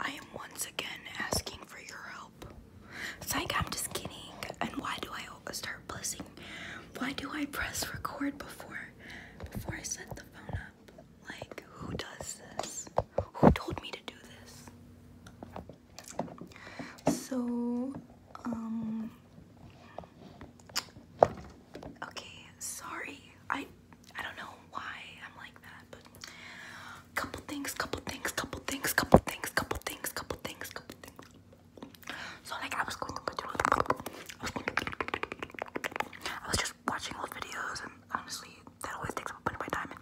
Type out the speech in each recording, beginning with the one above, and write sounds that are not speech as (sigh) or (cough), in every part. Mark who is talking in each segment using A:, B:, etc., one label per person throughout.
A: I am once again asking for your help. Psych, I'm just kidding. And why do I start buzzing? Why do I press record before before I set the phone up? Like, who does this? Who told me to do this? So, um, okay, sorry. I I don't know why I'm like that, but couple things, couple things, couple things, couple things, couple things, couple things, couple things. So like I was going to put I I was just watching old videos and honestly that always takes up a bit of my time and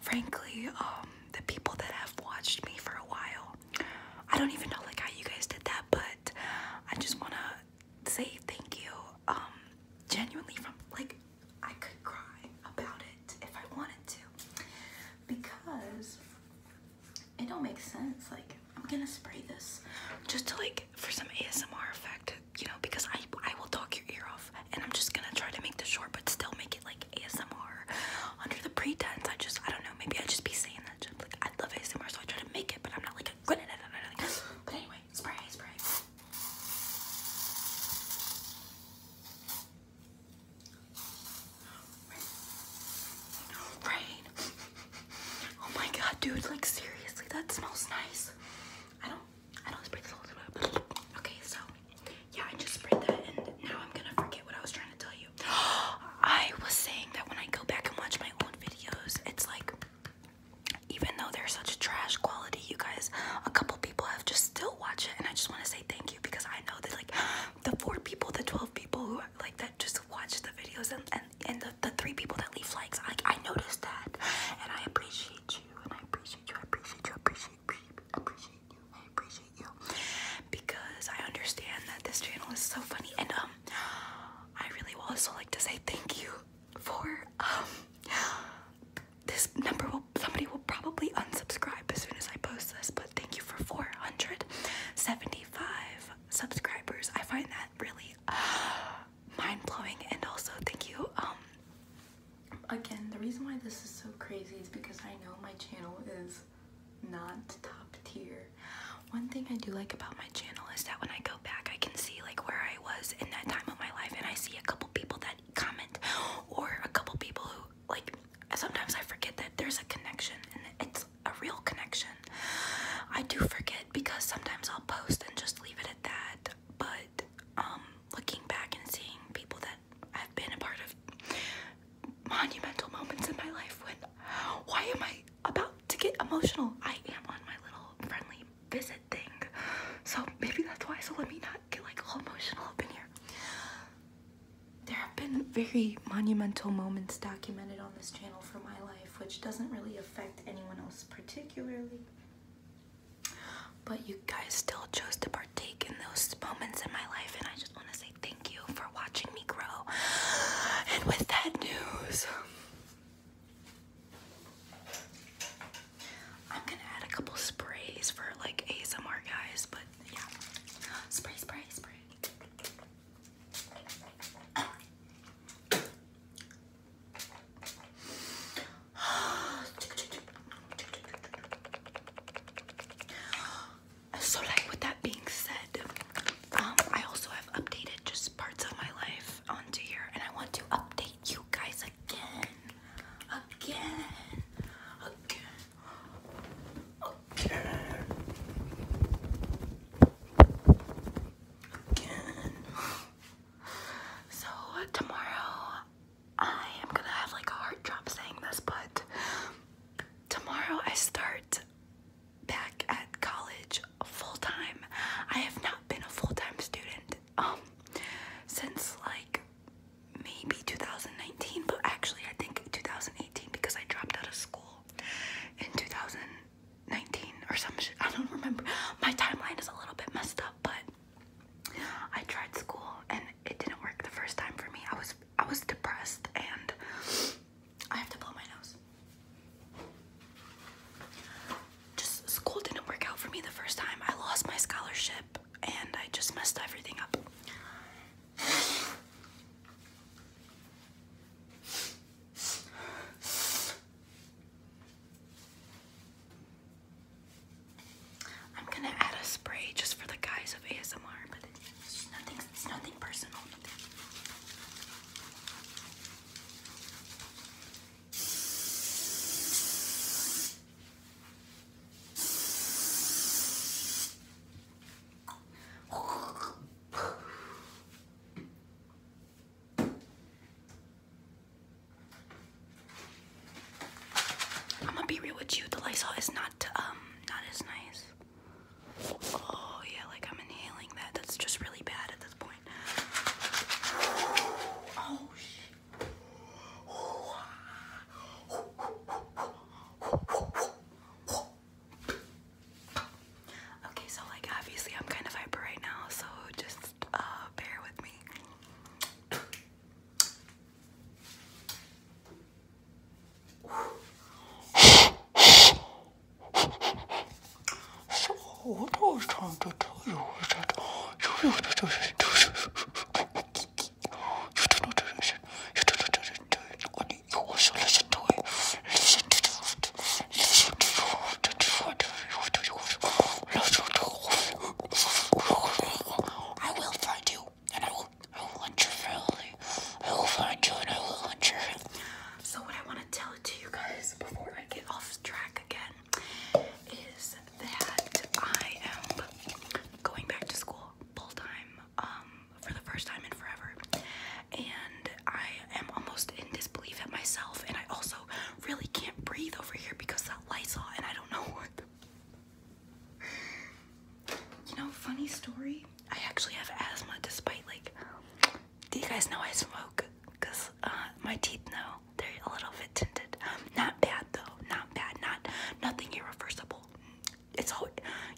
A: frankly, um, the people that have watched me for a while, I don't even know like how you guys did that, but I just wanna say thank you um, genuinely from like I could cry about it if I wanted to because it don't make sense. Like I'm gonna spray this just to like for some ASMR effect, you know, because I I will talk your ear off and I'm just gonna try to make this short but still make it like ASMR under the pretense. I just I don't know. Maybe I just be saying that. Just, like I love ASMR, so I try to make it, but I'm not like good at it. But anyway, Spray, spray. Rain. Oh my god, dude, like seriously, that smells nice. I don't I don't spray this all the way. Okay, so yeah, I just sprayed that and now I'm gonna forget what I was trying to tell you. (gasps) I was saying that when I go back and watch my own videos, it's like even though they're such trash quality, you guys, a couple people have just still watch it, and I just want to say thank you because I know that like the four people, the twelve people who are, like that just watch the videos, and and, and the, the three people that leave likes, I I noticed that, and I appreciate you, and I appreciate you, I appreciate you, appreciate, appreciate, appreciate you, I appreciate you, because I understand that this channel is so funny, and um, I really will also like to say thank you for um this number will somebody will probably unsubscribe as soon as I post this, but thank you for 475 subscribers. I find that really uh, mind-blowing and also thank you um again, the reason why this is so crazy is because I know my channel is not top tier. One thing I do like about my channel is that when I go back, I can see like where I was in that time of my life, and I see a couple people that comment, or a couple people who like. Sometimes I forget that there's a connection, and it's a real connection. I do forget because sometimes I'll post and just leave it at that. But um, looking back and seeing people that have been a part of monumental moments in my life, when why am I about to get emotional. I am on my little friendly visit thing. So maybe that's why. So let me not get like all emotional up in here. There have been very monumental moments documented on this channel for my life, which doesn't really affect anyone else particularly. But you guys still chose to partake in those moments in my life, and I just want to say thank you for watching me grow. And with that news, I'm gonna add a couple sprays for like ASMR guys, but yeah. Spray, spray, spray. (sighs) So like with that being said, um I also i updated just parts of my life onto here, and I want to update you guys again, again, again, again, again. So tomorrow, I am gonna have like a heart drop saying this, but tomorrow I start back at college full-time. I have not been a full-time student um, since like maybe 2019, but actually I think 2018 because I dropped out of school in 2019 or some shit. I don't remember. My timeline is a little bit messed up, but I tried school and it didn't work the first time for me. I was I was depressed and I have to blow my nose. Just school didn't work out for me the first time. I lost my scholarship and I just messed everything up. I'm gonna add a spray just for the guys of ASMR, but it's nothing, it's nothing personal. I'm gonna be real with you. The Lysol is not um not as nice. Oh yeah, like I'm inhaling that. That's just really bad at this point. Oh, shit. Okay, so like obviously I'm kind of hyper right now, so just uh, bear with me. So what I was trying to tell you is that you do not do this. You do not do this. You do not do this. Only you also listen to it. Listen to it. Listen to it. Listen to it. I will find you, and I will. I will hunt your family. I will find you, and I will hunt your. So what I want to tell it to you guys before I get off track again is that I am going back to school full time um, for the first time in forever, and I am almost in disbelief at myself. And I also really can't breathe over here because that Lysol, and I don't know what. You know, funny story. I actually have asthma despite like do you guys know I smoke? Cause uh, my teeth know they're a little bit tinted. Not bad though. Not bad. Not nothing irreversible. It's all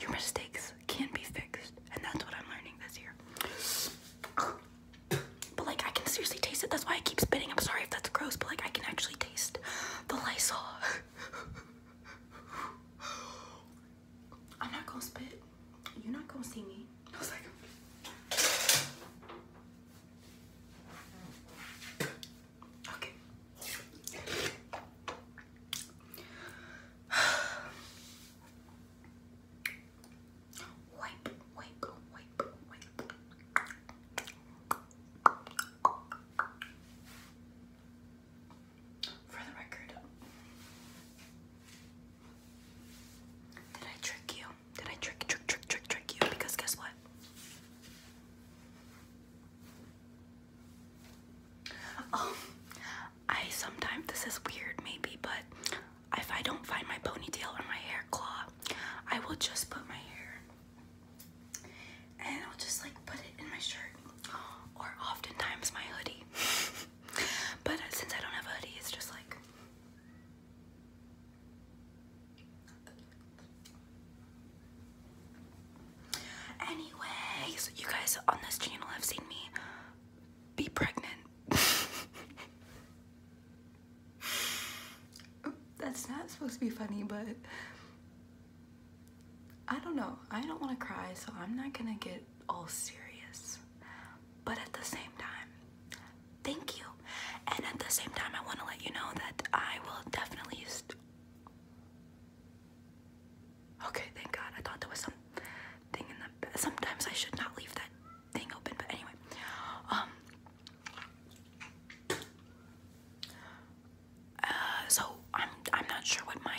A: your mistakes can be fixed, and that's what I'm learning this year. But like I can seriously taste it. That's why I keep spitting. I'm sorry if that's gross, but like I can actually taste the Lysol. (laughs) I'm not gonna spit. You're not gonna see me. okay. wipe, wipe, wipe, wipe for the record. Did I trick you? Did I trick, trick, trick, trick, trick you? Because guess what? Um, I sometimes, this is weird maybe, but if I don't find my ponytail or my hair claw, I will just put my hair and I'll just like put it in my shirt or oftentimes my hoodie. (laughs) But since I don't have a hoodie, it's just like. Anyways, you guys on this channel have seen me be pregnant. (laughs) That's not supposed to be funny, but I don't know. I don't want to cry, so I'm not gonna get all serious. But at the same time, thank you. And at the same time, I want to let you know that I will definitely. Okay, thank God. I thought there was some thing in the. Sometimes I should not leave that thing open, but anyway. Um. Uh, so I'm I'm not sure what my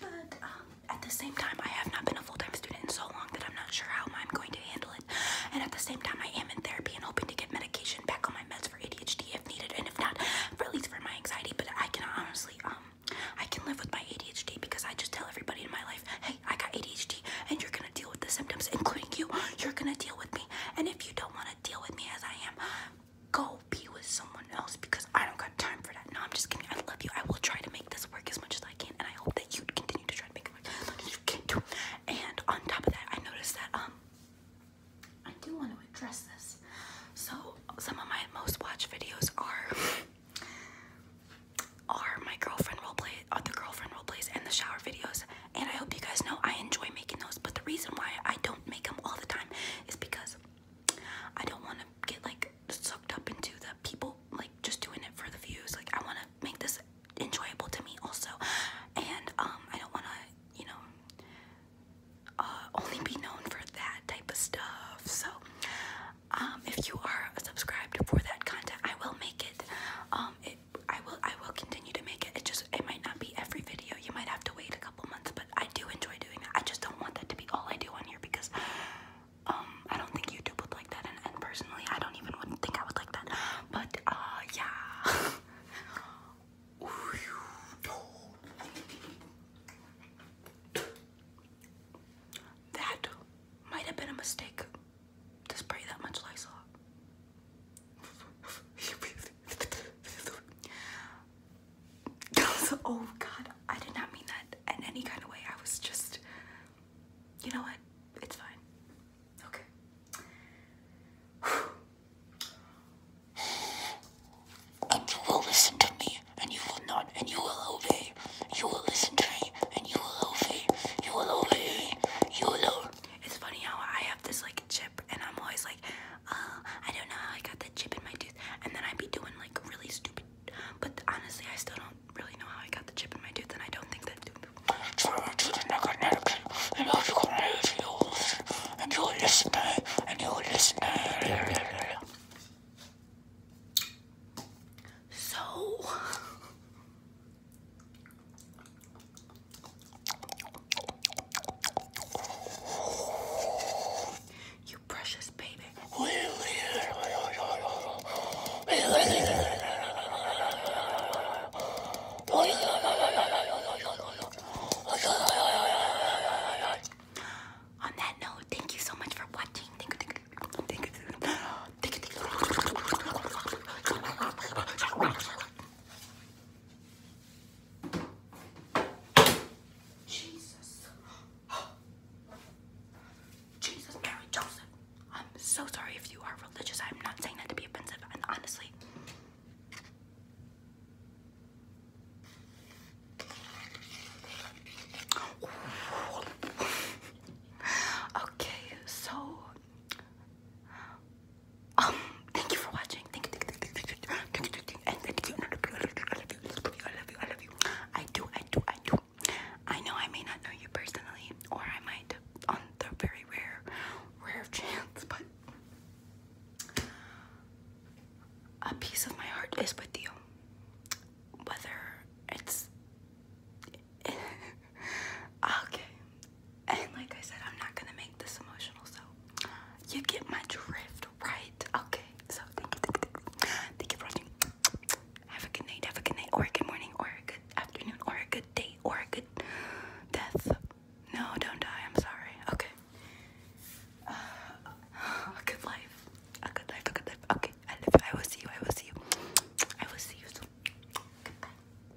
A: but um, at the same time, I have not been a full-time student in so long that I'm not sure how I'm going to handle it. And at the same time, I am in therapy and hoping to get medication back on my meds for ADHD if needed, and if not, at least for my anxiety. But I can honestly, um, I can live with my ADHD because I just tell everybody in my life, hey, I got ADHD, and you're gonna deal with the symptoms, including you. You're gonna deal with me, and if you don't want to deal with me as I am, go be with someone else because I don't got time for that. No, I'm just kidding. I love you. I will try to make this work as much as I can, and I hope that you continue to try to make it work as much as you can too. And on top of that, I noticed that um, I do want to address this. So some of my most watched videos are are my girlfriend role play, other girlfriend role plays, and the shower videos. And I hope you guys know I enjoy making those. But the reason why I don't make them all the time is because I don't want to get like sucked up into the people like just doing it for the views. Like I want to make this enjoyable to me also, and um, I don't want to you know uh, only be known for that type of stuff. So um, if you are subscribed for that content, I will make it. Um, it I will I will continue to make it. It just it might not be every video video. You might have to wait a couple months, but I do enjoy doing that. I just don't want that to be all I do on here because um, I don't think YouTube would like that and, personally I don't even wouldn't think I would like that. But uh yeah. (laughs) that might have been a mistake spray that much Lysol. (laughs) (laughs) oh god, I did not mean that in any kind of way. I was just, you know what? It's fine. Okay. (sighs) you will listen to me, and you will not, and you will obey. You will listen to me, and you will obey. You will obey. You will. It's funny how I have this like chip and I'm always like, oh, I don't know how I got that chip in my tooth. And then I'd be doing like really stupid, but honestly, I still don't really know how I got the chip in my tooth and I don't think that and you listen and you listen so you precious baby. On that note, thank you so much for watching. Jesus. Jesus, Mary, Joseph. I'm so sorry if you are religious. I'm not saying that to be offensive, and honestly. Okay, so um, thank you for watching. Thank you, thank you, thank you, thank you, thank you, thank you. I love you, I love you, I do, I do, I do. I know I may not know you personally, or I might on the very rare, rare (laughs) chance, but a piece of my heart is with you. Whether it's (laughs) (laughs) okay. And like I said, I'm not gonna make this emotional, so you get my drift, right? Okay. So thank you, for watching. Have a good night, have a good night, or a good morning, or a good afternoon, or a good day, or a good death. No, don't die. I'm sorry. Okay. (sighs) a good life. A good life. A good life. Okay. I will see you. I will see you. I will see you soon. Goodbye.